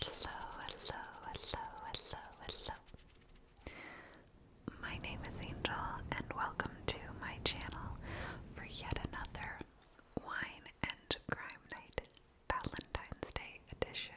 Hello, hello, hello, hello, hello. My name is Angel, and welcome to my channel for yet another Wine and Crime Night Valentine's Day edition.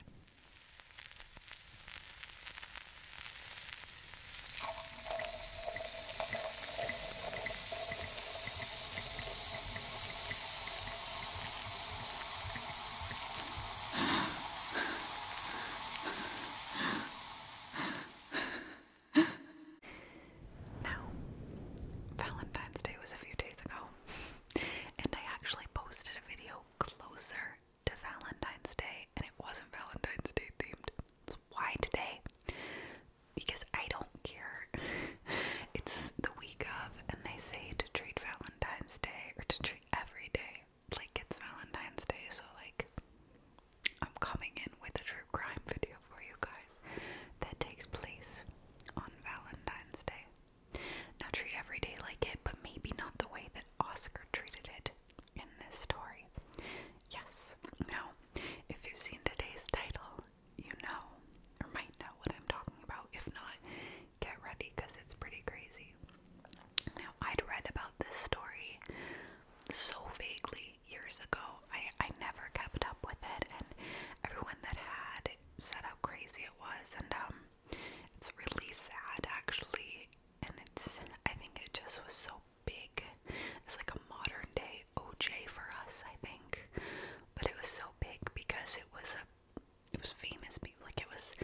Now, Valentine's Day was a few days ago, and I actually posted a video closer to Valentine's Day, and it wasn't Valentine's Day themed. why today? Because I don't care. it's the of, and they say to treat Valentine's Day or to treat every day like it's Valentine's Day. So, like, I'm coming in with a true crime video for you guys that takes place on Valentine's Day. Now, treat every day like it, but maybe not the way that Oscar treated it in this story. Yes. Now, if you've seen today's title, you know or might know what I'm talking about. If not, get ready because it's pretty crazy. Now, I'd read about this story so vaguely years ago. I, I never kept up with it, and everyone that had set up crazy it was. And um, it's really sad, actually. And it's, I think it just was so big. It's like a modern day OJ for us, I think. But it was so big because it was a it was famous people like it was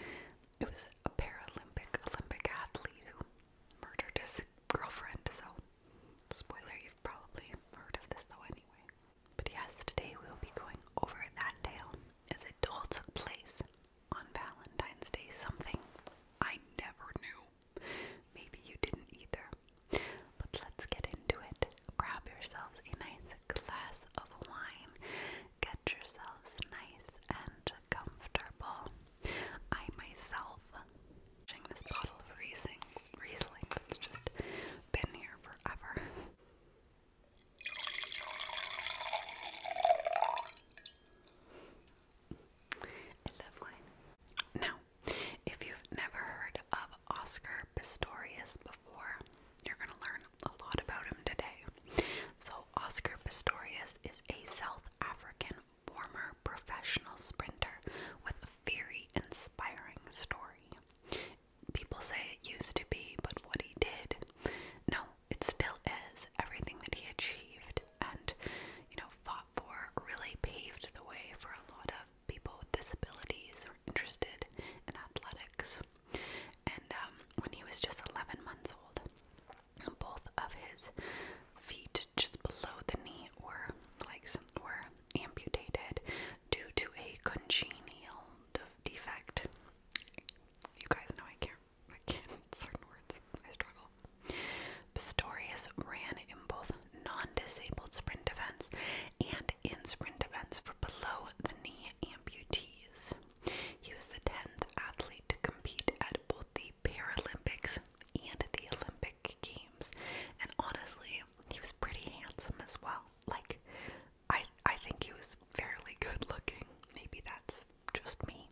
it was a Paralympic Olympic athlete who murdered his girlfriend. So spoiler, you've probably heard of this though anyway. But yes, today we will be going over that tale as it all took place on Valentine's Day, something I never knew. Maybe you didn't either. But let's get into it. Grab yourselves a nice glass of wine Get yourselves nice and comfortable. I myself, this bottle of Riesling, Riesling that's just been here forever. I love wine. Now, if you've never heard of Oscar Pistorius before, you're gonna learn a lot about him today. So, Oscar Pistorius is a South African former professional sprinter with a very inspiring story. People say it used to be, but what he did, no, it still is. Everything that he achieved and, you know, fought for really paved the way for a lot of people with disabilities who are interested in athletics. And um, when he was just 11 months old, both of his feet just below the knee were like were amputated due to a congenital defect. You guys know I can't I can't certain words. I struggle. Pistorius ran in both non-disabled sprint events and in sprint events for below the knee amputees. He was the 10th athlete to compete at both the Paralympics and the Olympic Games. And honestly, he was pretty handsome as well. Like, I, I think he was fairly good looking. Maybe that's just me.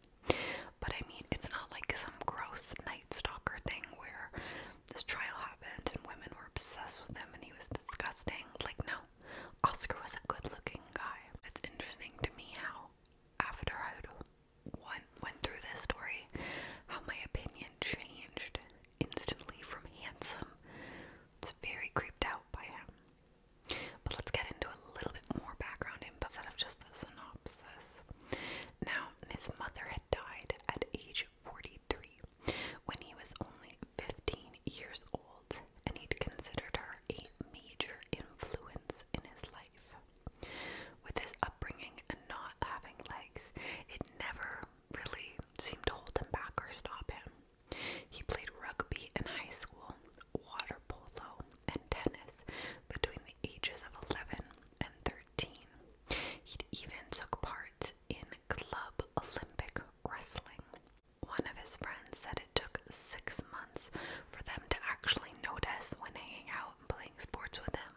But I mean, it's not like some gross night stalker thing where this trial happened and women were obsessed with him and he was disgusting. Like, no, Oscar was a good looking guy. It's interesting to me how, after I went, went through this story, how my opinion changed instantly from handsome It's very creeped out by him. But let's get into a little bit more background info instead of just the synopsis. Now, his mother had died at age 43 when he was only 15 years old, and he'd considered her a major influence in his life. With his upbringing and not having legs, it never really seemed to hold him back or stop him. He played rugby in high school, water polo, and tennis between the ages of 11 and 13. he even took part in Club Olympic Wrestling, one of his friends said it took six months for them to actually notice when hanging out and playing sports with him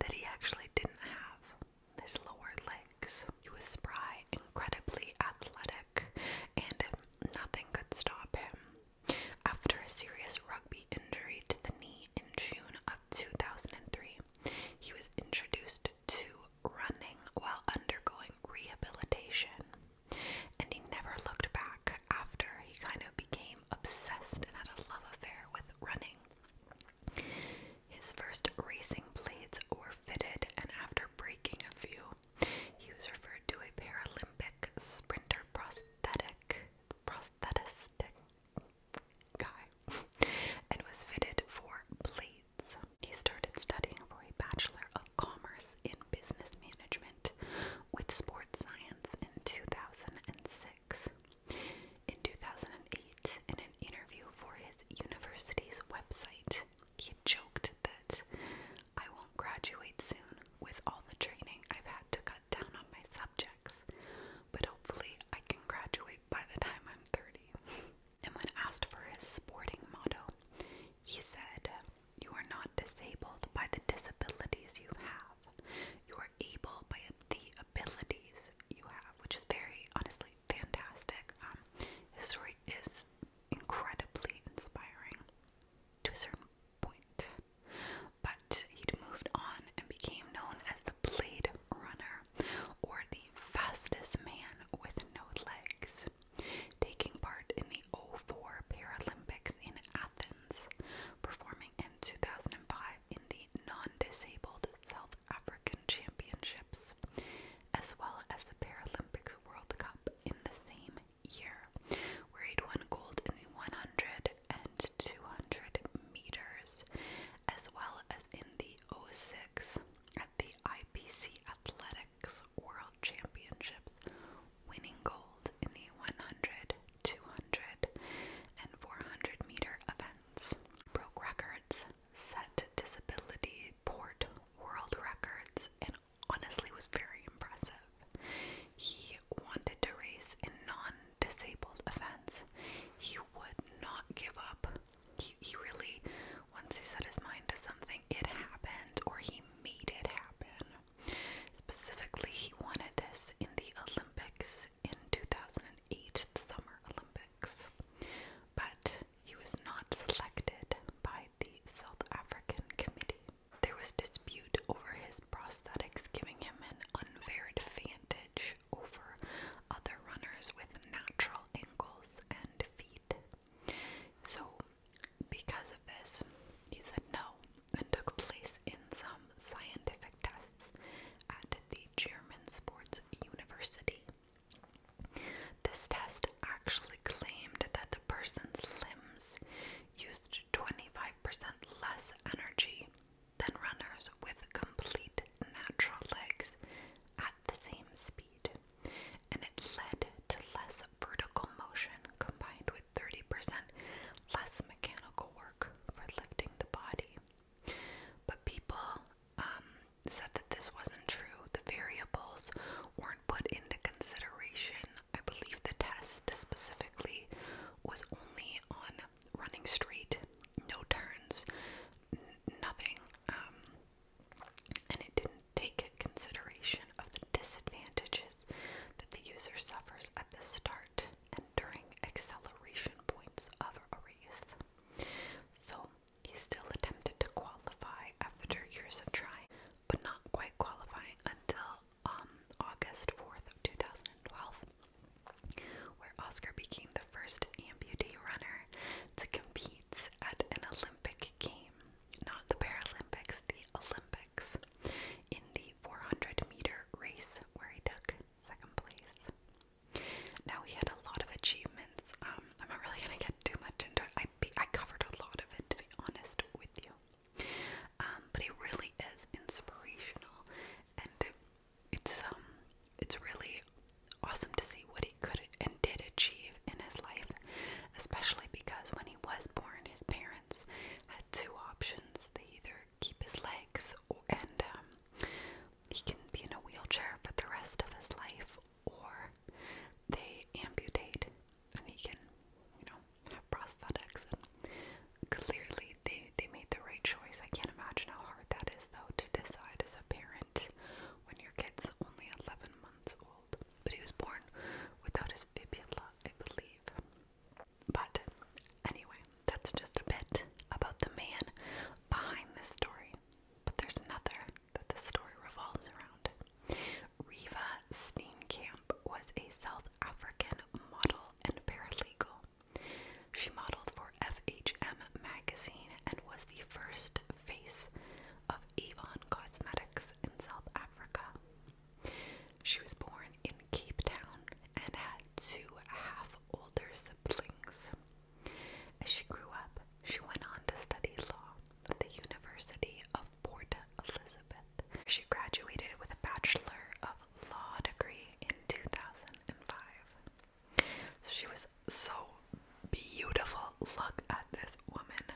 that he actually didn't have his lower legs. He was spry, incredibly athletic, and nothing could stop him. After a serious rugby injury to the knee in June of 2003, he was introduced to running while undergoing rehabilitation. And he never looked back after he kind of became obsessed and had a love affair with running. His first racing blades were fitted, and after breaking a few, he was referred to a Paralympic sprinter prosthetic prosthetic guy and was fitted for blades. He started studying for a Bachelor of Commerce in business management with sports science in 2006. In 2008, in an interview for his university's website, he joked that I won't graduate soon with all the training I've had to cut down on my subjects, but hopefully I can graduate by the time I'm 30. And when asked for his sporting motto, he said, You are not disabled by the disabilities you have. You are able by the abilities you have, which is very, honestly, fantastic. Um, his story is incredibly inspiring to a certain point. But he'd moved on and became known as the Blade Runner, or the fastest man with no legs taking part in the 0 04 Paralympics in Athens, performing in 2005 in the non-disabled South African Championships, as well as the Paralympics World Cup in the same year, where he won gold in the 100 and 200 meters, as well as in the 0 06 at the IPC Athletics World Championships, winning gold in the 100, meter events. Broke records, set disability port world records, and honestly was very impressive. He wanted to race in non disabled events. He would not give up. He, he really, once he set his mind to something, it happened, or he made it happen. Specifically, he wanted this in the Olympics in 2008, the Summer Olympics. But he was not selected by the South African Committee. There was dispute over his prosthetics giving him an unfair advantage over other runners with natural ankles and feet. So, because of this, he said no and took place in some scientific tests at the German Sports University. This test actually claimed that the person's limbs used 25% less energy than runners with complete natural legs at the same speed and it led to less vertical motion combined with 30% less mechanical work for lifting the body. But people um, said that this wasn't true. The variables weren't put into consideration. I believe the test specifically was only on running straight, no turns, nothing. Um, and it didn't take consideration of the disadvantages that the user suffers at the start and during acceleration points of a race. So he still attempted to qualify after years of trying, but not quite qualifying until um, August 4th of 2012, where Oscar became the first amputee runner to compete at an Olympic game not the Paralympics, the Olympics, in the 400 meter race where he took second place. Now he had a lot of achievements. Um, I'm not really gonna get too much into it. I be, I covered a lot of it to be honest with you. Um, but he really is inspirational, and it's um, it's really awesome to see what he could and did achieve in his life, especially because when he was born, his parents parents had two options. They either keep his legs and um, he can be in a wheelchair for the rest of his life, or they amputate and he can, you know, have prosthetics. And clearly, they, they made the right choice. I can't imagine how hard that is, though, to decide as a parent when your kid's only 11 months old but he was born without his fibula, I believe. But anyway, that's just a bit about the man behind this story. But there's another that this story revolves around. Riva Steenkamp was a South African model and paralegal. She modeled for FHM magazine and was the first face of Avon Cosmetics in South Africa. She was born in Cape Town and had two half older siblings. As she grew up, she went on to study law at the University of Port Elizabeth. She graduated with a Bachelor of Law degree in 2005. she was so beautiful. Look at this woman.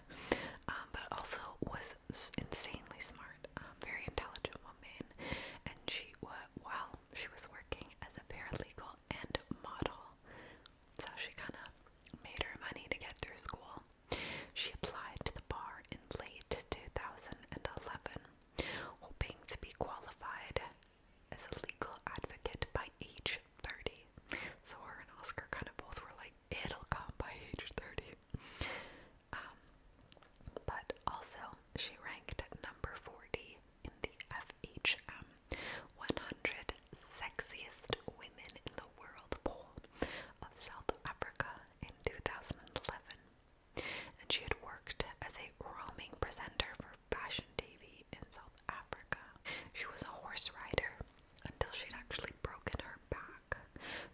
Um, but also was insanely smart, um, very intelligent woman, and she was well, she was working as a paralegal and model, so she kind of made her money to get through school. She applied to the bar in late 2011, hoping to be qualified as a legal advocate by age 30. So her and Oscar kind of both were like, it'll come by age 30. Um, but also, she ranked at number 40 in the FHM 100 Sexiest Women in the World poll of South Africa in 2011. And she had worked as a roaming presenter for fashion TV in South Africa. She was a horse rider until she'd actually broken her back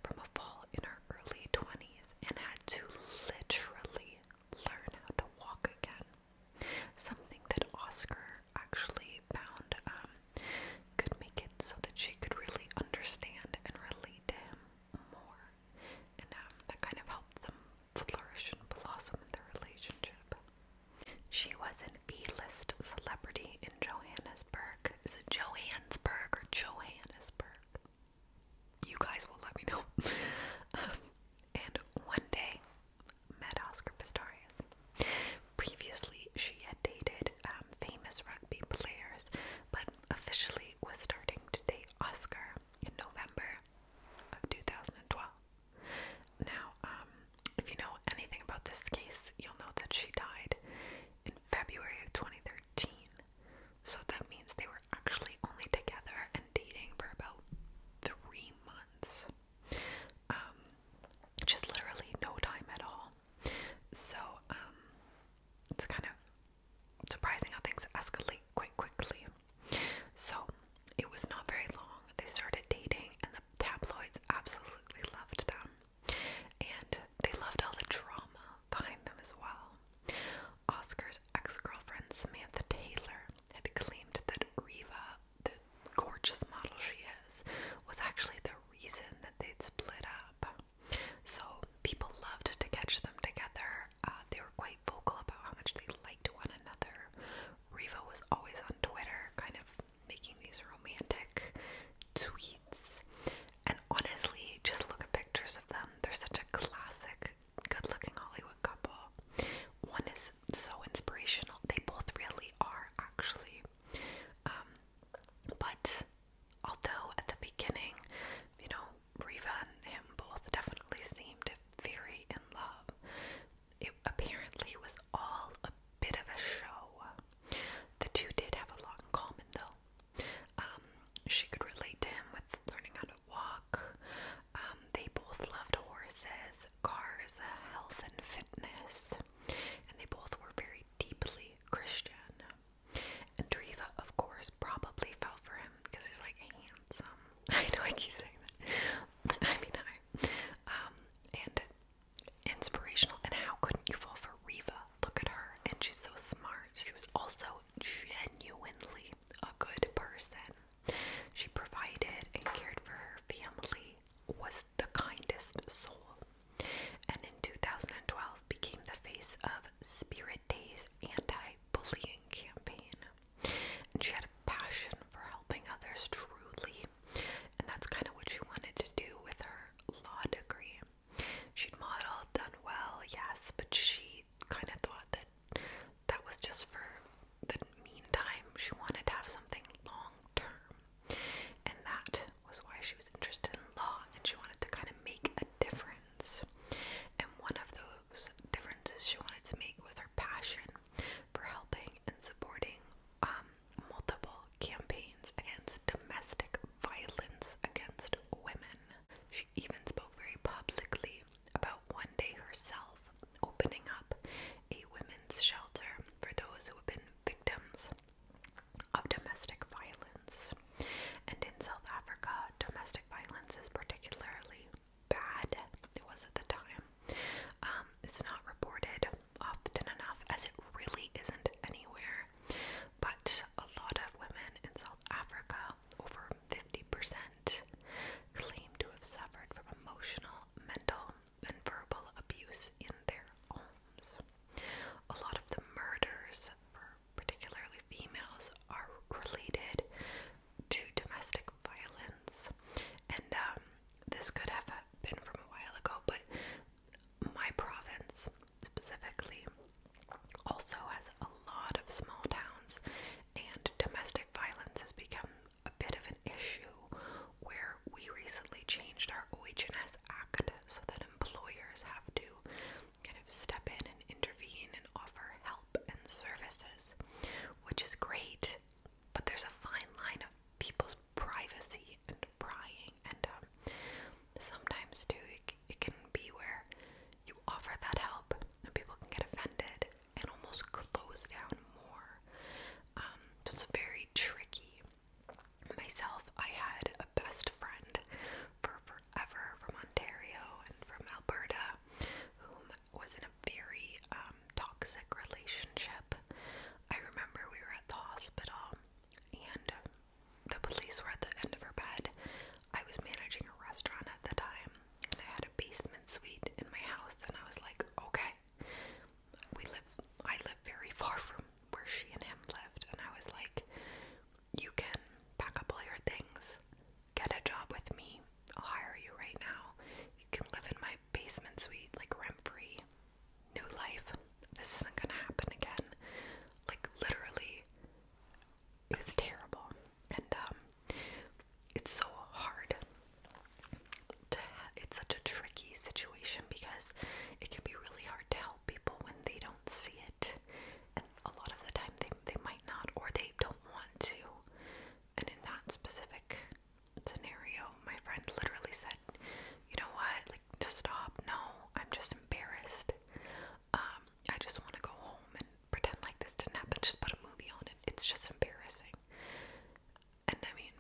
from a fall in her early 20s and had to literally learn how to walk again. Something that Oscar actually found um, could make it so that she could really understand and relate to him more. And um, that kind of helped them flourish and blossom in their relationship. She was an A list celebrity in Johanna is it Johannesburg or Johannesburg? You guys will let me know. Um, and one day, met Oscar Pistorius. Previously, she had dated um, famous rugby players, but officially was starting to date Oscar in November of 2012. Now, um, if you know anything about this case, you'll know that she died in February of 2013. So that means they were actually only together and dating for about three months. Um, just literally no time at all. So, um, it's kind of surprising how things escalate quite quickly. So, it was not very long. They started dating, and the tabloids absolutely loved them. And they loved all the drama behind them as well. Oscar's ex girlfriend, Samantha Taylor, had claimed that Riva, the gorgeous model she is, was actually the reason that they'd split up. So people loved to catch them together. Uh, they were quite vocal about how much they liked one another. Riva was always on Twitter, kind of making these romantic tweets. And honestly, just look at pictures of them. They're such a classic, good looking Hollywood couple. One is so inspirational. They both really are, actually. Um, but although at the beginning, you know, Riva and him both definitely seemed very in love, it apparently was all a bit of a show. The two did have a lot in common, though. Um, she could relate to him with learning how to walk. Um, they both loved horses, cars, health, and fitness, and they both were very deeply Christian. And Driva, of course, probably fell for him because he's like handsome. I know I keep saying that. I mean, I. Um, and inspirational. And how couldn't you fall for Riva? Look at her, and she's so smart. She was also genuinely a good person. She provided and cared for her family, was the kindest soul, and in 2012 became the face of Spirit Day's anti-bullying campaign. And she had a passion for helping others truly, and that's kind of what she wanted to do with her law degree. She'd modeled, done well, yes, but she kind of thought that that was just for the meantime. She wanted to have something long term, and that was why she was interested in law and she wanted to kind of make a difference. And one of those differences she wanted to make was her passion for helping and supporting um, multiple campaigns against domestic violence against women. She even spoke very publicly about one day herself opening up a women's shelter for those who have been victims of domestic violence. And in South Africa, domestic violence is particularly bad. It was at the time. Um, it's not reported often enough, as it really isn't anywhere but a lot of women in South Africa, over 50%, claim to have suffered from emotional, mental, and verbal abuse in their homes. A lot of the murders, particularly females, are related to domestic violence, and um, this could have been from a while ago, but my province specifically also has a lot of small towns, and domestic violence has become a bit of an issue where we recently changed our OHS Act so that employers have to kind of step in and intervene and offer help and services, which is great, but there's a fine line of people's privacy and prying and um, sometimes too it, can be where you offer that help and people can get offended and almost close down more it's um, very tricky myself i had a best friend for forever from ontario and from alberta whom was in a very um, toxic relationship i remember we were at the hospital and the police were at the end of her bed. I was managing a restaurant at the time, and I had a basement suite in my house, and I was like, okay, we live, I live very far from where she and him lived, and I was like, you can pack up all your things, get a job with me, I'll hire you right now. You can live in my basement suite, like rent free, new life. This isn't gonna happen again. Like, literally, it was terrible, and um, it's so hard to. it's such a tricky situation because it can be really hard to help people when they don't see it, and a lot of the time they they might not or they don't want to. And in that specific scenario, my friend literally said, "You know what? Like, just stop. No, I'm just embarrassed. Um, I just want to go home and pretend like this didn't happen. Just put a movie on it. It's just embarrassing. And I mean,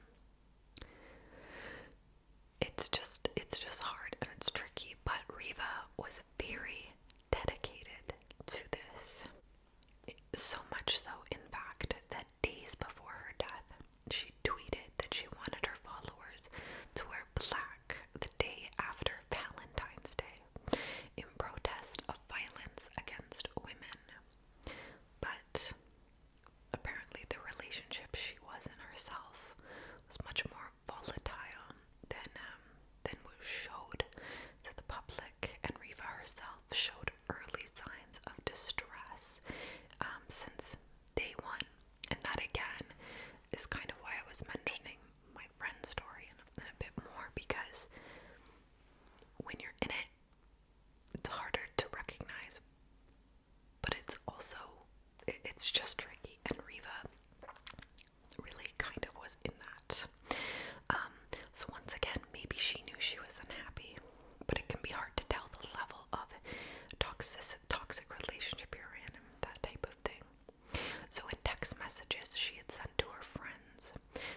it's just it's just hard and it's tricky. But Riva was very dedicated to this. So much so, in fact, that days before her death, she tweeted that she wanted her followers to wear black the day after Valentine's Day in protest of violence against women. But apparently, the relationship she was in herself was much more volatile than um, than was showed to the public, and Riva herself showed early signs of distress um, since day one, and that again is kind of why I was mentioning my friend's story and, and a bit more because when you're in it, it's harder to recognize, but it's also it's just tricky. And Riva really kind of was in that. Um, so once again, maybe she knew she was unhappy, but it can be hard to tell the level of toxic toxic relationship you're in and that type of thing. So, in text messages she had sent to her friends,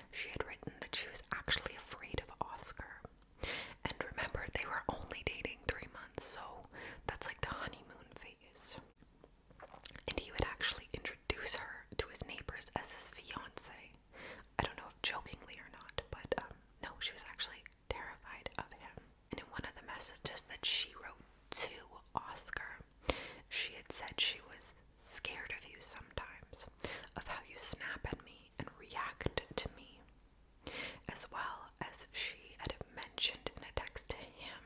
she had written that she was actually afraid of Oscar. And remember, they were only dating three months, so that's like the honeymoon phase. And he would actually introduce her to his neighbors as his fiance. I don't know if jokingly or not, but um, no, she was actually terrified of him. And in one of the messages that she wrote to Oscar, she had said she was scared of you sometimes, of how you snap at me and react to me, as well as she had mentioned in a text to him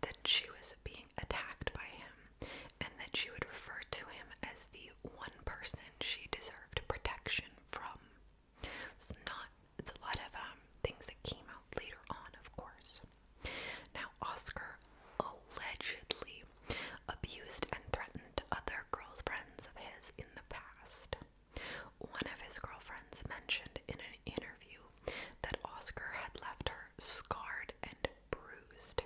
that she was being attacked by him and that she would refer to him as the one person she deserved protection from. It's not, it's a lot of um, things that came out later on, of course. Now, Oscar allegedly abused and threatened other girlfriends of his in the past. One of his girlfriends mentioned in an interview that Oscar had left her scarred and bruised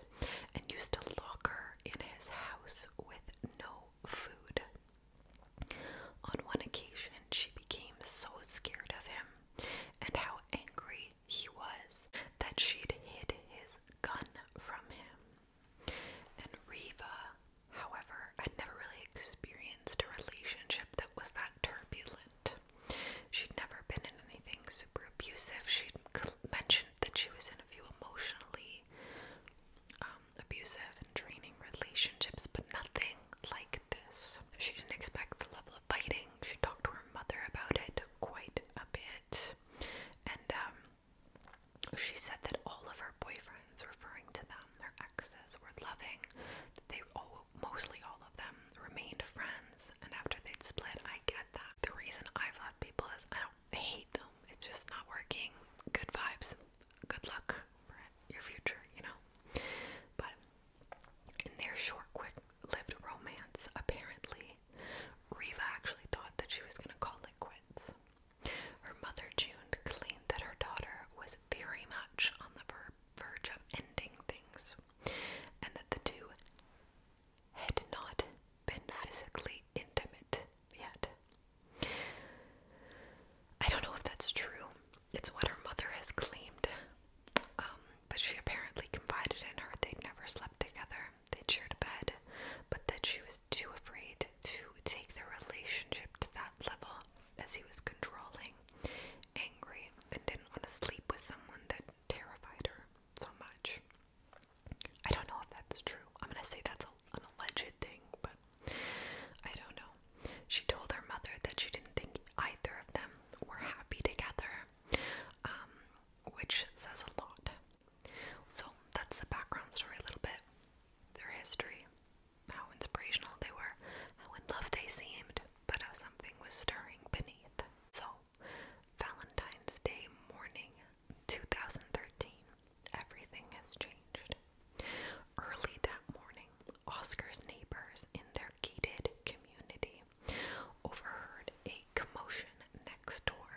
and used to lock her in his house with no food. On one occasion, she became so scared of him and how angry he was that she'd hid his gun from him. And Riva, however, had never really experienced a relationship that was that turbulent. She'd never been in anything super abusive. She'd mentioned that she was in a few emotionally um, abusive and draining relationships, but nothing like this. She didn't expect the level of biting. She talked to her mother about it quite a bit. And um, she said that all of her boyfriends, referring to them, their exes, were loving. They all, mostly all of them, remained friends. And after they'd split, I get that. The reason I've left people is I don't hate them. It's just not working. Good vibes. Good luck for your future, you know. But in their short, quick lived romance, apparently, Riva actually thought that she was going to call it quits. Her mother, June, claimed that her daughter was very much on the verge of ending things and that the two had not been physically intimate yet. I don't know if that's true. It's what her mother has claimed. Um, but she apparently confided in her they'd never slept together, they'd shared a bed, but that she was too afraid to take their relationship to that level as he was controlling, angry, and didn't want to sleep with someone that terrified her so much. I don't know if that's true. I'm gonna say that's an alleged thing, but I don't know. She told her mother that she didn't think either of them were happy together um, which says a lot. So that's the background story a little bit, their history, how inspirational they were, how in love they seemed, but how something was stirring beneath. So, Valentine's Day morning 2013, everything has changed. Early that morning, Oscar's neighbors in their gated community overheard a commotion next door,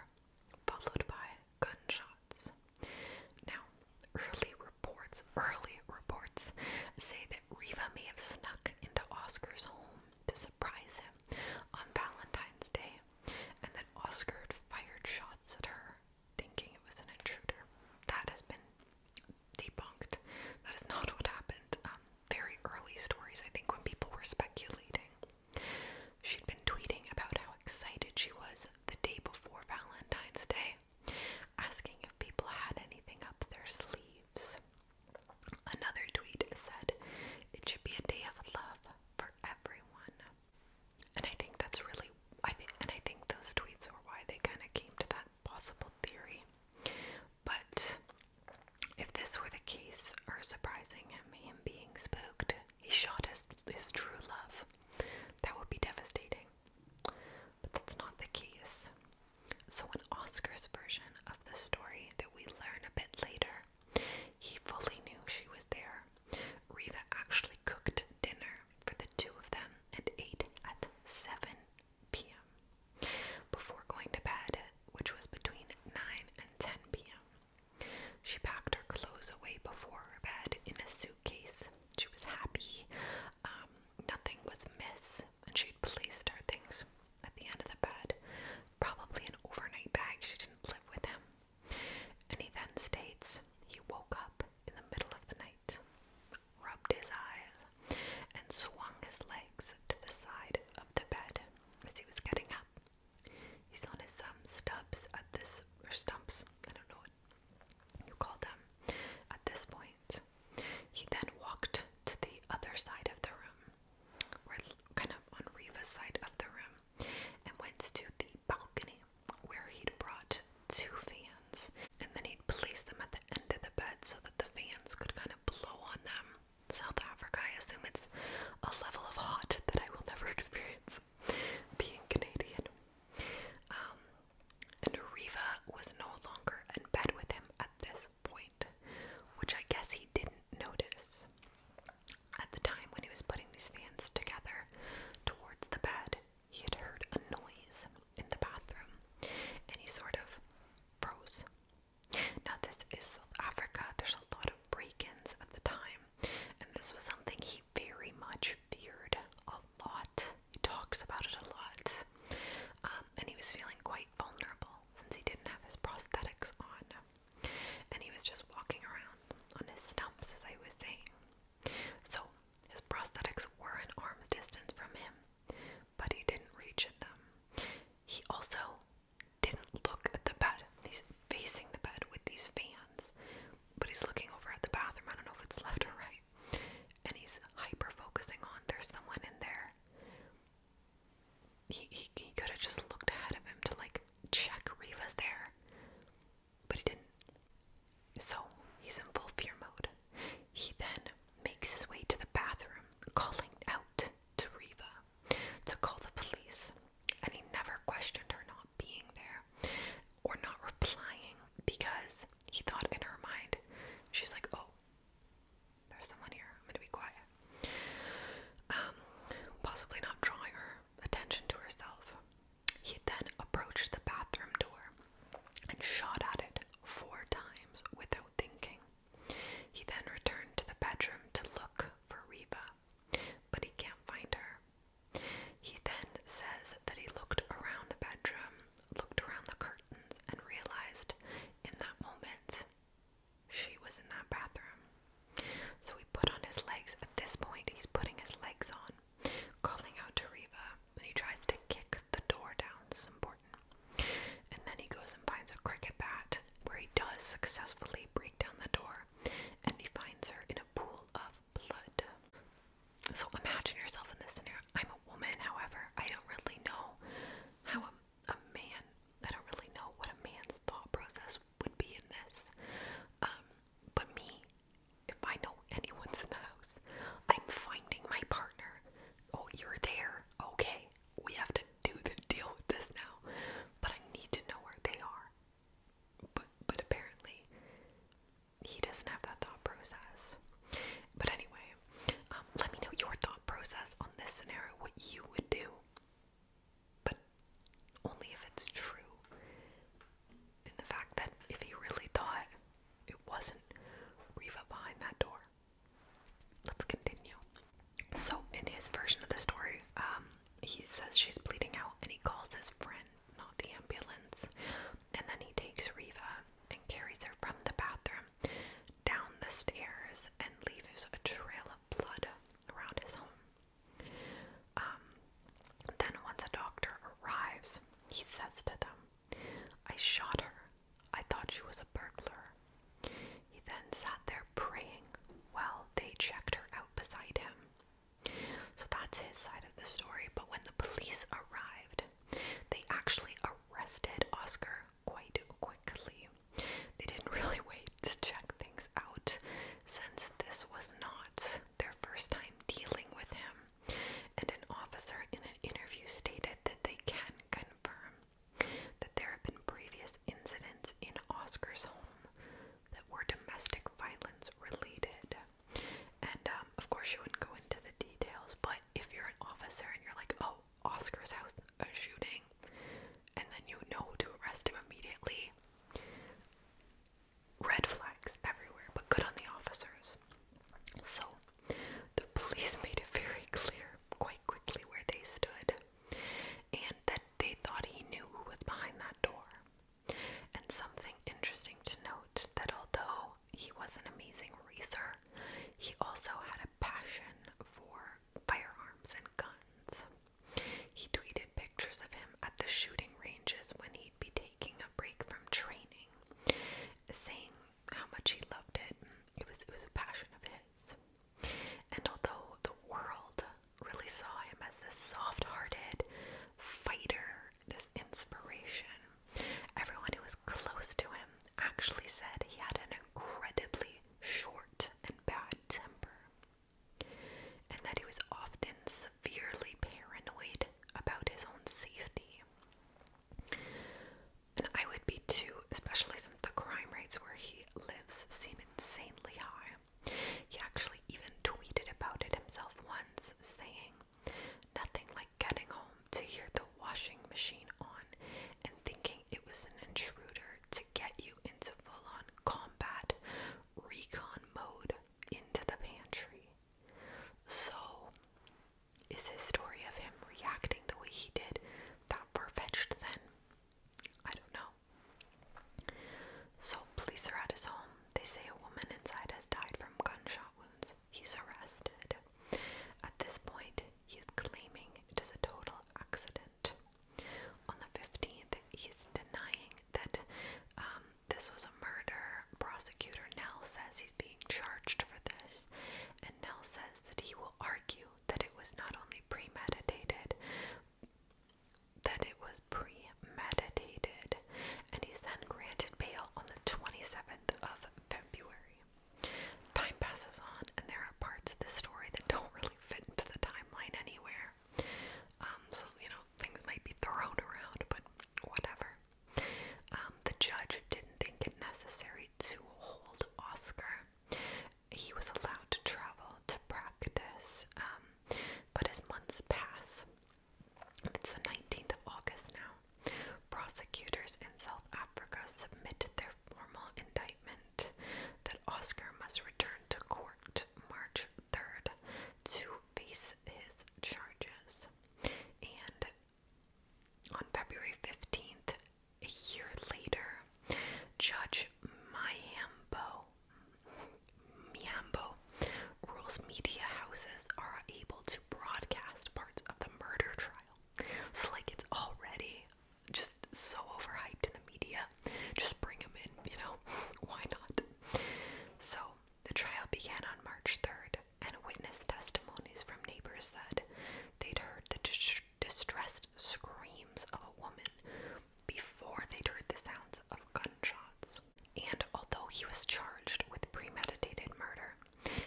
followed by gunshots. Now, early reports, early reports say that Riva may have snuck into Oscar's home to surprise him on Valentine's Day, and that Oscar fired shots at her, thinking it was an intruder. That has been debunked. That is not what happened. Um, very early stories, I think, when people were speculating. She'd been tweeting about how excited she was the day before Valentine's Day, asking if people had anything up their sleeves. Another tweet said, It should be a day of love for everyone. And I think that's really, I think, and I think those tweets are why they kind of came to that possible theory. But if this were the case, or surprising him, him being spooked, he shot his, his true love. That would be devastating. But that's not the case. So, in Oscar's version of the story that we learn a bit later, he fully knew she was there. Riva actually cooked dinner for the two of them and ate at 7 p.m. Before going to bed, which was between 9 and 10 p.m., she packed her clothes away before her bed in a suitcase. She was happy, um, nothing was missed, and she'd placed her things at the end of the bed, probably an overnight bag. She didn't live with him. And he then states he woke up in the middle of the night, rubbed his eyes, and swung his legs to the side of the bed as he was getting up. He's on his some um, stubs at this or stumps, I don't know what you call them at this point. He then walked to the other side of the room, or kind of on Riva's side of the room, and went to the balcony where he'd brought two fans, and then he placed them at the end of the bed so that the fans could kind of blow on them South Africa, I assume it's a level of hot that I will never experience being Canadian. Um, and Riva was no longer in bed with him at this point, which I guess he didn't notice. At the time when he was putting these fans together towards the bed, he had heard a noise in the bathroom and he sort of froze now, this is South Africa. There's a lot of break ins at the time, and this was something he very much feared a lot. He talks about it a lot. Um, and he was feeling quite vulnerable since he didn't have his prosthetics on. And he was just walking around on his stumps, as I was saying. So his prosthetics were an arm's distance from him, but he didn't reach at them. He also didn't look at the bed. He's facing the bed with these fans, but he's looking over at the bathroom. I don't know if it's left or right. And he's hyper focusing on there's someone in there. He, he, he could have just looked ahead of him to like check Riva's there, but he didn't. So he's in full fear mode. He then makes his way to the bathroom, calling out to Riva to call the police, and he never questioned her not being there or not replying because he thought in her mind, she's like, oh, there's someone here, I'm gonna be quiet. Um, possibly not drawing her attention to herself. He then approached the bathroom door and shot at it four times without thinking. He then returned to the bedroom to look for Reba, but he can't find her. He then says that he looked around the bedroom, looked around the curtains, and realized in that moment she was in that bathroom. So he put on his legs. At this point, he's putting his legs on, calling out to Reva, and he tries to kick the door down. It's important. And then he goes and finds a cricket bat, where he does successfully break down the door, and he finds her in a pool of blood. So imagine yourself in this scenario. I'm a woman, however, I don't really know how a, man, I don't really know what a man's thought process would be in this. Um, but me, if I know anyone's in the house, I'm finding my partner. Oh, you're there. Okay, we have to do the deal with this now, but I need to know where they are. But but apparently he doesn't have that thought process. But anyway, um, let me know your thought process on this scenario, what you would do. But only if it's true. In the fact that if he really thought it wasn't Riva behind that door, Let's continue. So, in his version of the story, um, he says she's bleeding out and he calls his friend, not the ambulance. And then he takes Riva and carries her from the bathroom down the stairs and leaves a trail of blood around his home. Um, then, once a doctor arrives, he says to them, I shot her. I thought she was a burglar. He then sat there praying while they checked her out beside him. So that's his side of the story, but when the police arrived, they actually arrested Oscar quite quickly. They didn't really wait to check things out since this was not their first time dealing with him. And an officer in an interview stated that they can confirm that there have been previous incidents in Oscar's home that were domestic violence related. And um, of course, she wouldn't go into the details, but if you're an officer and you're like, oh, Oscar's house, a shooting, and then you know to arrest him immediately, red flags everywhere, but good on the officers. So, the police made it very clear quite quickly where they stood, and that they thought he knew who was behind that door. And something interesting to note that although he was an amazing racer, he also had a passion for firearms and guns. He tweeted pictures of him at the shooting ranges when he'd be taking a break from training, saying how much he loved it. It was it was a passion of his. And although the world really saw him as this soft hearted fighter, this inspiration, everyone who was close to him actually said he had an incredibly short and bad temper, and that he was often severely paranoid about his own safety. And I would be too, especially since the crime rates where he lives seem insanely high. He actually even tweeted about it himself once, saying, Nothing like getting home to hear the washing machine on and thinking it was an intruder to get you into full on combat recon mode into the pantry. So, is his story of him reacting the way he did that far fetched then? I don't know. So, police are at his home. They say a woman inside has died from gunshot wounds. He's arrested. At this point, he's claiming it is a total accident. On the 15th, he's denying that um, this was a murder. Prosecutor Nell says he's being charged for this, and Nell says that he will argue that it was not only premeditated that it was premeditated, and he's then granted bail on the 27th of February. Time passes on, and there are parts of the story that don't really fit into the timeline anywhere. Um, so, you know, things might be thrown around, but whatever. Um, the judge didn't think it necessary to hold Oscar he was allowed to travel to practice, um, but as months pass, it's the 19th of August now, prosecutors in South Africa submitted their formal indictment that Oscar must return to court March 3rd to face his charges. And on February 15th, a year later, Judge Mayambo Miambo rules media houses are able to broadcast parts of the murder trial. So like it's already just so overhyped in the media. Just bring them in, you know? Why not? So the trial began on March 3rd, and witness testimonies from neighbors said they'd heard the distressed screams of a woman before they heard the sounds of gunshots. And although he was charged with premeditated murder,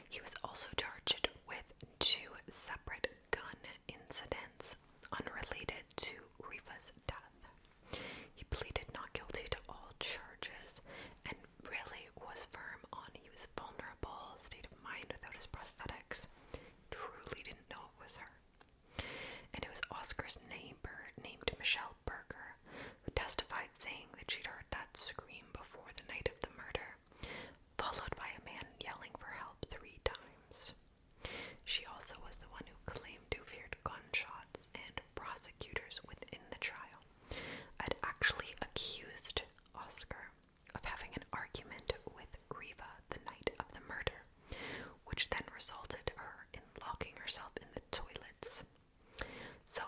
he was also charged with two separate gun incidents unrelated to Rifa's death. He pleaded not guilty to all charges and really was firm on he was vulnerable, state of mind without his prosthetics, truly didn't know it was her. And it was Oscar's neighbor named Michelle Berger who testified saying that she'd heard that scream before the night of the murder, followed by a man yelling for help three times. She also was the one who claimed to have heard gunshots, and prosecutors within the trial had actually accused Oscar of having an argument with Riva the night of the murder, which then resulted her in locking herself in the toilets. So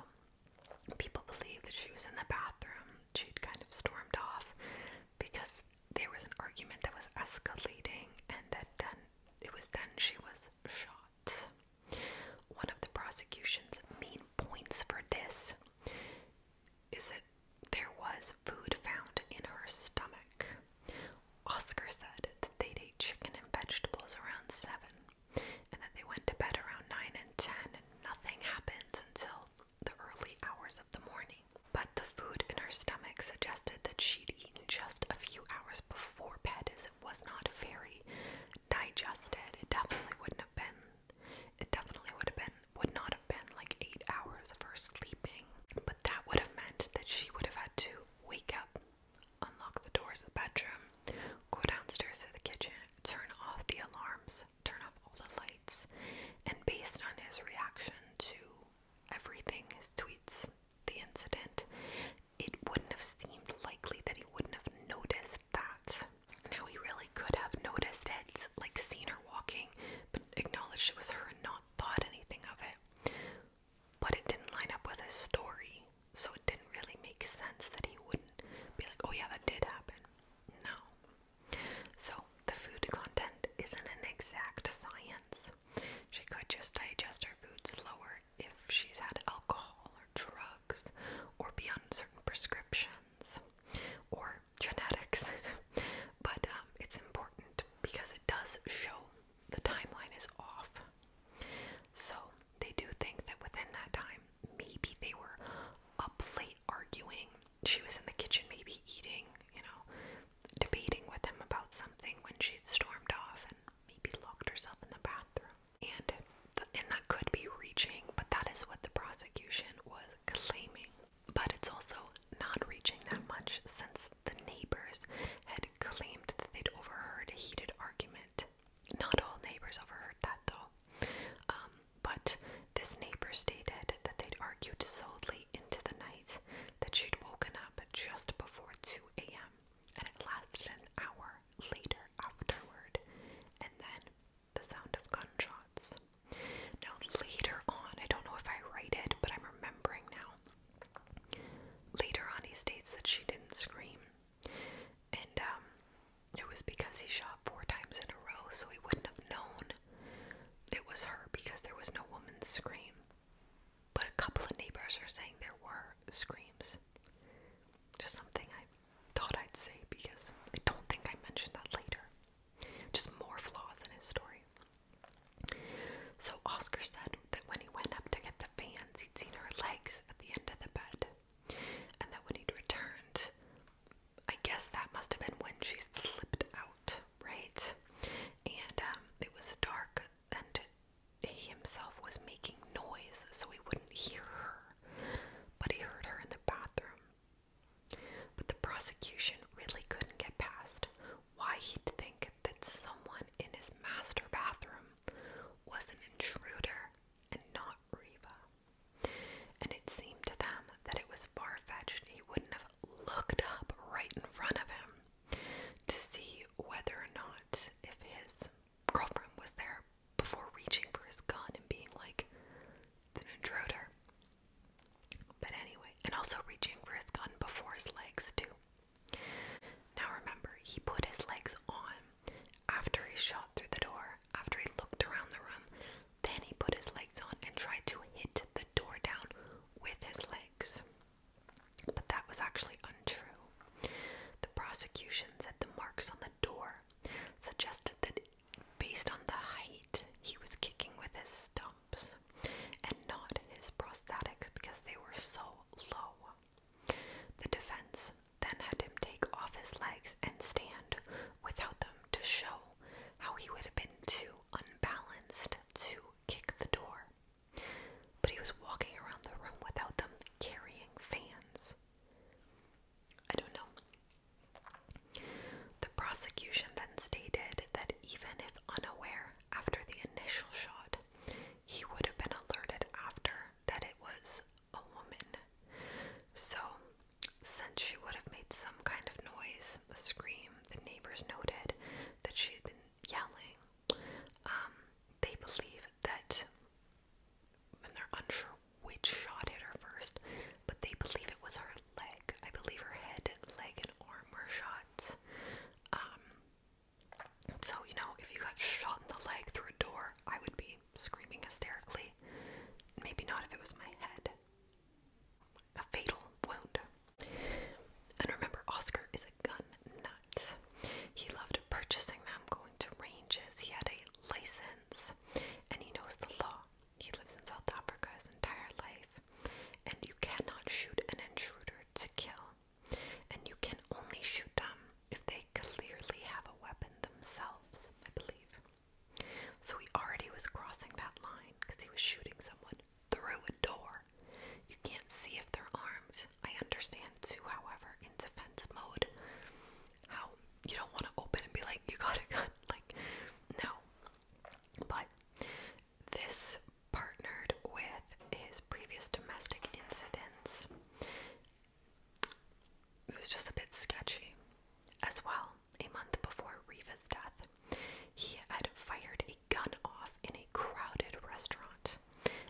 people believe that she was in the bathroom. She'd kind of stormed off because there was an argument that was escalating and that then it was then she was shot. One of the prosecution's main points for this is that there was food found in her stomach. Oscar said that they'd ate chicken and vegetables around 7 and that they went to bed around 9 and 10 and nothing happens until the early hours of the morning. But the food in her stomach suggested that she'd eaten just a few hours before bed as it was not very digested. It definitely wouldn't have been it definitely would have been would not have been like eight hours of her sleeping. But that would have meant that she would have had to wake up, unlock the doors of the bedroom, go downstairs to the kitchen, turn off the alarms, turn off all the lights, and based on his reaction to everything, his tweets, the incident, it wouldn't have seemed likely that he wouldn't have noticed that. Now, he really could have noticed it, like seen her walking, but acknowledged it was her and not thought anything of it but it didn't line up with his story, so it didn't really make sense that he wouldn't be like, oh yeah, that did happen. No. So the food content isn't an exact science. She could just digest her food slower if she's had alcohol or drugs or be on certain prescriptions or genetics. but um, it's important because it does show the timeline is off. So they do think that within that time, maybe they were up late arguing. She was in the kitchen, maybe eating, you know, debating with him about something when she stormed off and maybe locked herself in the bathroom. And th and that could be reaching, but that is what the prosecution was claiming. But it's also not reaching that much since the neighbors had claimed that they'd overheard a heated argument. Not all neighbors overheard that, though. Um, but this neighbor stated that they'd argued solely into the night, that she'd woken up just before 2 a.m., and it lasted an hour later afterward, and then the sound of gunshots. Now, later on, I don't know if I write it, but I'm remembering now. Later on, he states that she didn't scream, and um, it was because he shot four times in a row, so he wouldn't have known it was her because there was no woman's scream. But a couple of neighbors are saying there were screams. Just something I thought I'd say because I don't think I mentioned that later. Just more flaws in his story. So Oscar said that when he went up to get the fans, he'd seen her legs at the end of the bed. And that when he'd returned, I guess that must have been when she slipped out, right? And um, it was dark, and he himself was making noise so he wouldn't hear her. But he heard her in the bathroom. But the prosecution really couldn't get past why he'd think that someone in his master bathroom was an intruder and not Riva. And it seemed to them that it was far fetched he wouldn't have looked up right in front of him to see whether or not if his girlfriend was there before reaching for his gun and being like, an intruder. But anyway, and also reaching for his gun before his legs, too. Now remember, he put his legs on after he shot through the door, after he looked around the room, then he put his legs on and tried to hit the door down with his legs. But that was actually untrue. The prosecution said the marks on the door suggested that based on the height, he was kicking with his stumps and not his prosthetics because they were so low. The defense then had him take off his legs and stand without them to show how he would have been too unbalanced to kick the door. But he was walking around the room without them carrying fans. I don't know. The prosecution then stated that even if unaware after the initial shot, he would have been alerted after that it was a woman. So, since she would have made some kind of noise, a scream, the neighbors noted that she had been yelling. Um, they believe that, and they're unsure which shot hit her first, but they believe it was her leg. I believe her head, leg, and arm were shot. Um, so, you know, if you got shot in the leg through a door, I would be screaming hysterically. Maybe not if it was my head. A fatal wound. And remember, Oscar is a gun nut. He loved purchasing them, going to ranges. He had a license, and he knows the law. He lives in South Africa his entire life, and you cannot shoot an intruder to kill and you can only shoot them if they clearly have a weapon themselves, I believe. So he already was crossing that line because he was shooting someone through a door. You can't see if they're armed. I understand too, however, in defense mode, how you don't want to open and be like, you got a gun. Like, no. But this partnered with his previous domestic incidents. It was just a bit sketchy. As well, a month before Riva's death, he had fired a gun off in a crowded restaurant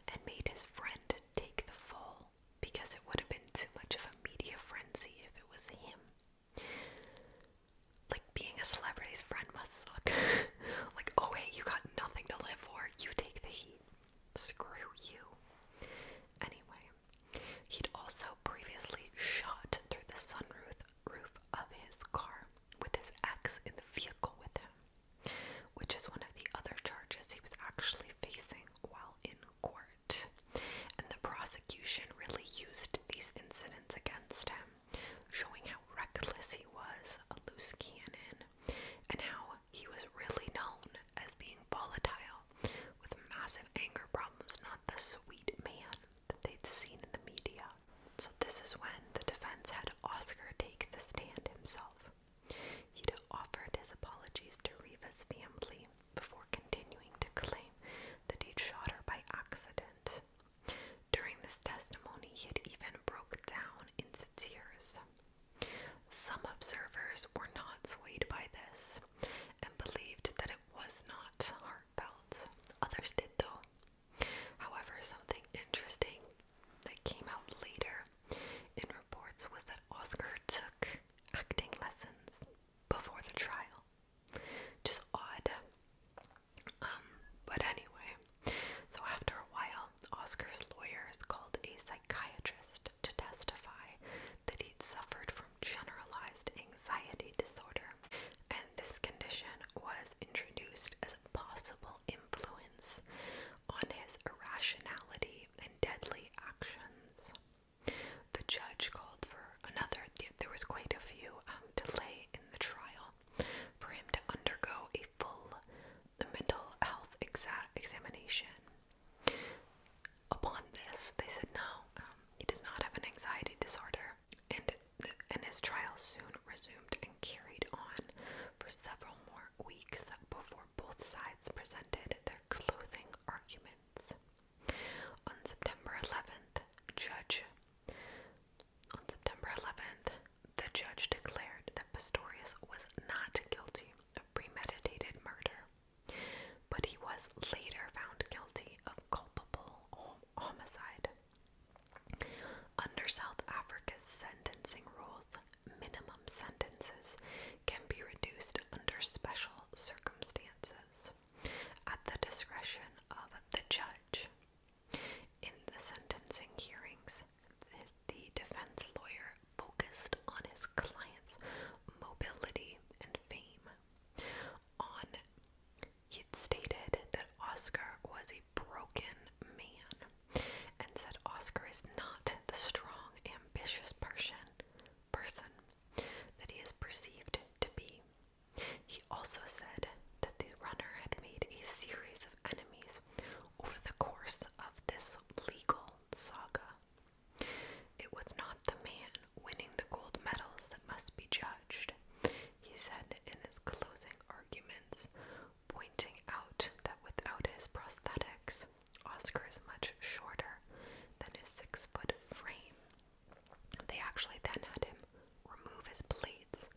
and made his friend take the fall because it would have been too much of a media frenzy if it was him. Like being a celebrity's friend must suck. like, oh hey, you got nothing to live for. You the heat. Screw you. Anyway, he'd also previously shot through the sunroof roof of his car with his axe in the vehicle with him, which is one of the other charges he was actually facing while in court. And the prosecution really used these incidents against him, showing how reckless he was, a loose cannon, and how he was really known as being volatile with massive anger problems, not the sweet man that they'd seen in the media. So, this is when the defense had Oscar take the stand himself. He'd offered his apologies to Riva's family before continuing to claim that he'd shot her by accident. During this testimony, he had even broke down into tears. Some observers were not swayed by this and believed that it was not heartfelt. Others did, though. However, something interesting that came out later in reports was that Oscar took acting lessons before the trial. Just odd. Um, but anyway, so, after a while, Oscar's lawyers called a psychiatrist to testify that he'd suffered from generalized anxiety disorder, and this condition was introduced as a possible influence on his irrationality and deadly actions. The judge called for another, there was quite a few um, delay in the trial for him to undergo a full the mental health exam examination. Upon this, they said no, um, he does not have an anxiety disorder, and and his trial soon resumed and carried on for several more weeks before both sides presented their closing arguments. On September 11th, Judge on September 11th, the judge declared that Pistorius was not guilty of premeditated murder, but he was later found guilty of culpable homicide. Under South Africa's sentencing rules, minimum sentences can be reduced under special circumstances at the discretion of the judge. In the sentencing hearings, the defense lawyer focused on his client's mobility and fame. On he'd stated that Oscar was a broken man and said Oscar is not the strong, ambitious person person that he is perceived to be. He also said that the runner had made a series of enemies over the course of this legal saga. It was not the man winning the gold medals that must be judged, he said in his closing arguments, pointing out that without his prosthetics, Oscar is much shorter than his six foot frame. They actually then had him remove his plates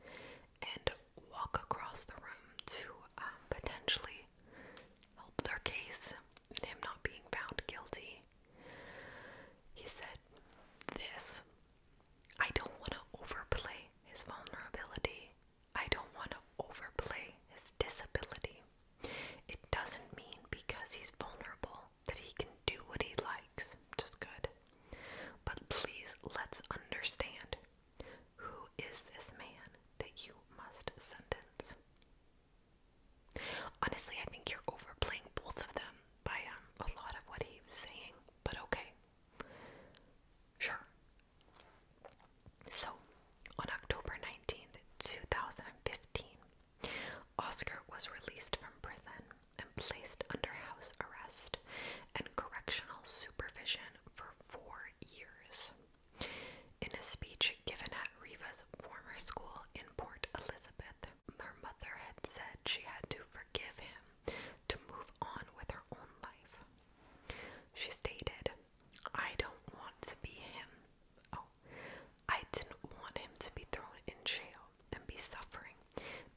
and walk across the room to um, potentially help their case and him not being found guilty. He said this I don't want to overplay his vulnerability, I don't want to overplay his disability. It doesn't mean because he's vulnerable that he can do what he likes, Just good. But please let's understand who is this man that you must sentence? Honestly, I think you're overplaying both of them by um, a lot of what he saying, but okay. Sure. So, on October 19th, 2015, Oscar was released from prison and placed under house arrest and correctional supervision for four years. In a speech given at Riva's former school in Port Elizabeth, her mother had said she had to forgive him to move on with her own life. She stated, I don't want to be him. Oh, I didn't want him to be thrown in jail and be suffering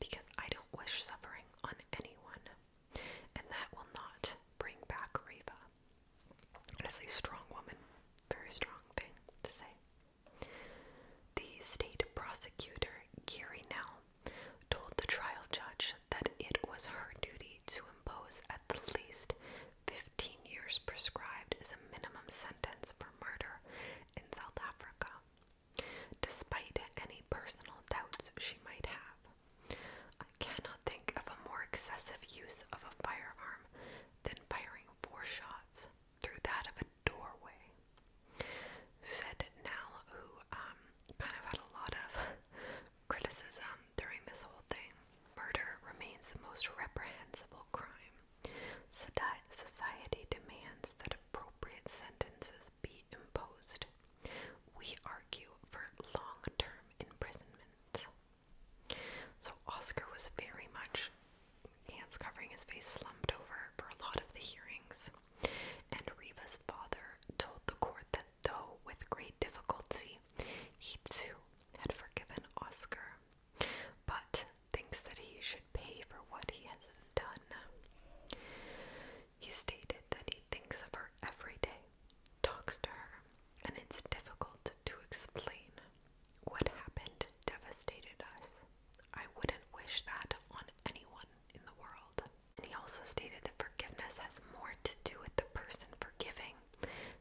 because I don't wish suffering on anyone, and that will not bring back Riva. Honestly, strong woman. Very strong thing to say. The state prosecutor, Gary Now told the trial judge that it was her duty to impose at the least 15 years prescribed as a minimum sentence for murder in South Africa, despite any personal doubts she might have. I cannot think of a more excessive use of a firearm than firing four shots through that of a doorway. Said Nell, who um, kind of had a lot of criticism during this whole thing. Murder remains the most reprehensible crime. Society demands that appropriate sentences be imposed. We argue for long term imprisonment. So Oscar was very much, hands covering his face, slumped over for a lot of the hearings. And Reva's father told the court that though with great difficulty, he too had forgiven Oscar, but thinks that he should pay for what he has done. He stated that he thinks of her every day talks to her, and it's difficult to explain. What happened devastated us. I wouldn't wish that on anyone in the world. he also stated that forgiveness has more to do with the person forgiving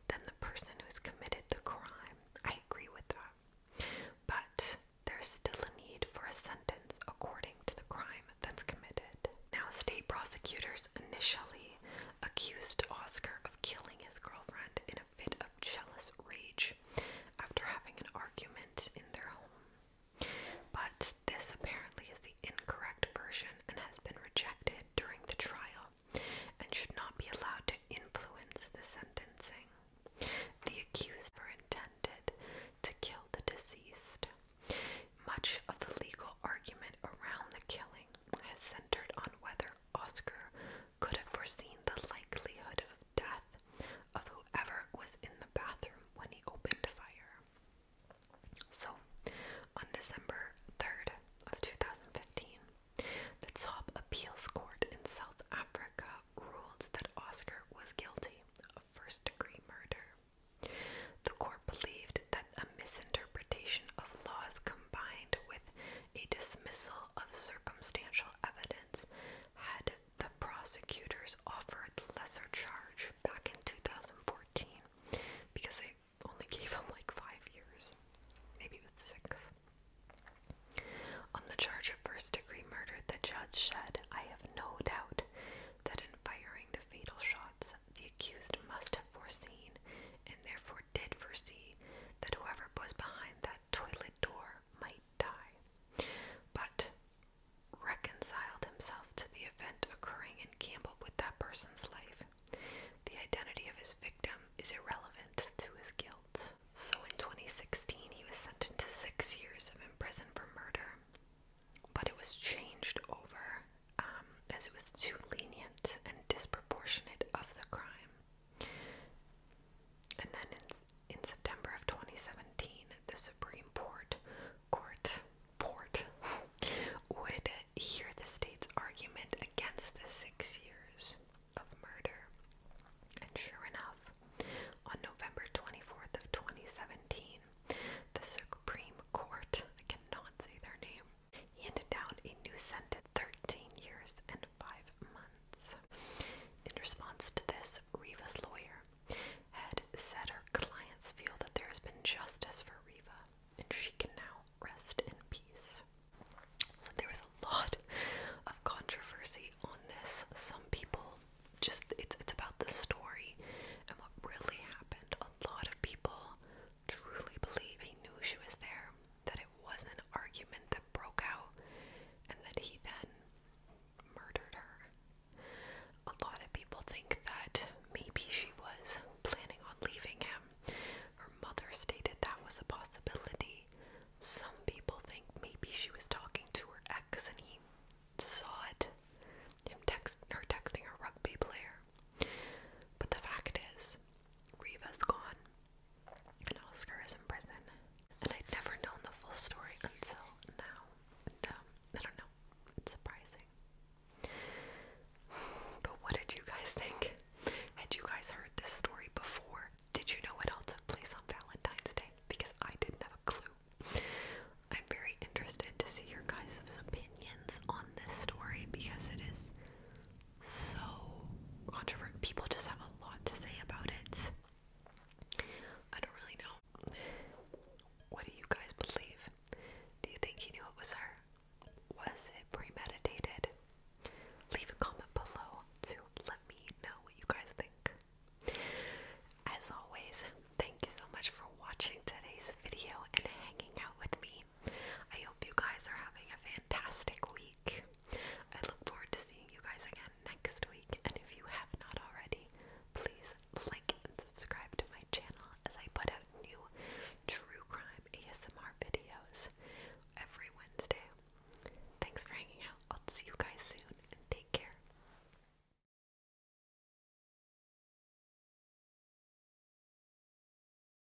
than the person who's committed the crime. I agree with that. But there's still a need for a sentence according to the crime that's committed. Now, state prosecutors initially accused Oscar of killing his girlfriend in a fit of jealous rage after having an argument in their home. But this apparently is the incorrect version and has been rejected during the trial and should not be allowed to influence the sentencing. The accused were intended to kill the deceased. Much of the legal argument around the killing has centered on whether Oscar could have foreseen the likelihood of death of whoever was in the bathroom when he opened fire. So, on December 3rd of 2015, the top appeals court in South Africa ruled that Oscar was guilty of first-degree murder. The court therefore believed that a misinterpretation of laws combined with a dismissal of circumstantial evidence had the prosecutors offered the lesser charge back in 2014 because they only gave him like five years, maybe it was six. On the charge of first degree murder, the judge said, I have no doubt that in firing the fatal shots, the accused must have foreseen, and therefore did foresee, that whoever was behind that toilet door might die, but reconciled himself to the event occurring in Campbell with that person's life. The identity of his victim is irrelevant to his guilt. So in 2016, he was sentenced to six years of imprisonment for murder, but it was changed over um, as it was too lenient and disproportionate of the crime. And then in, September of 2017, the Supreme Court, court, port, would hear the state's argument against the six years of murder. And sure enough, on November 24th of 2017, the Supreme Court, cannot say their name, he handed down a new sentence 13 years and 5 months. In response to this, Riva's lawyer had said her clients feel that there has been justice for Riva and she can now rest in peace. So there was a lot of controversy on this. Some people just it's it's about the story and what really happened. A lot of people truly believe he knew she was there, that it was an argument that broke out, and that he then murdered her. A lot of people think that maybe she was planning on leaving him. Her mother stated that was a possibility. Some people think maybe she was talking to her ex and he saw it. Him text her texting her rugby player. But the fact is, Riva's gone, and Oscar is in prison. And I'd never known the full story until now. And um, I don't know, surprising. But what did you guys think? Had you guys heard this story before? Did you know it all took place on Valentine's Day? Because I didn't have a clue. I'm very interested to see your guys' opinions on this story because it is so controversial. People just have a lot to say about it. I don't really know. What do you guys believe? Do you think he knew it was her? Was it premeditated? Leave a comment below to let me know what you guys think. As always, thank you so much for watching today's video and hanging out with me. I hope you guys are having a fantastic week. I look forward to seeing you guys again next week, and if you have not already, please like and subscribe to my channel as I put out new true crime ASMR videos every Wednesday. Thanks for hanging out. I'll see you guys soon, and take care.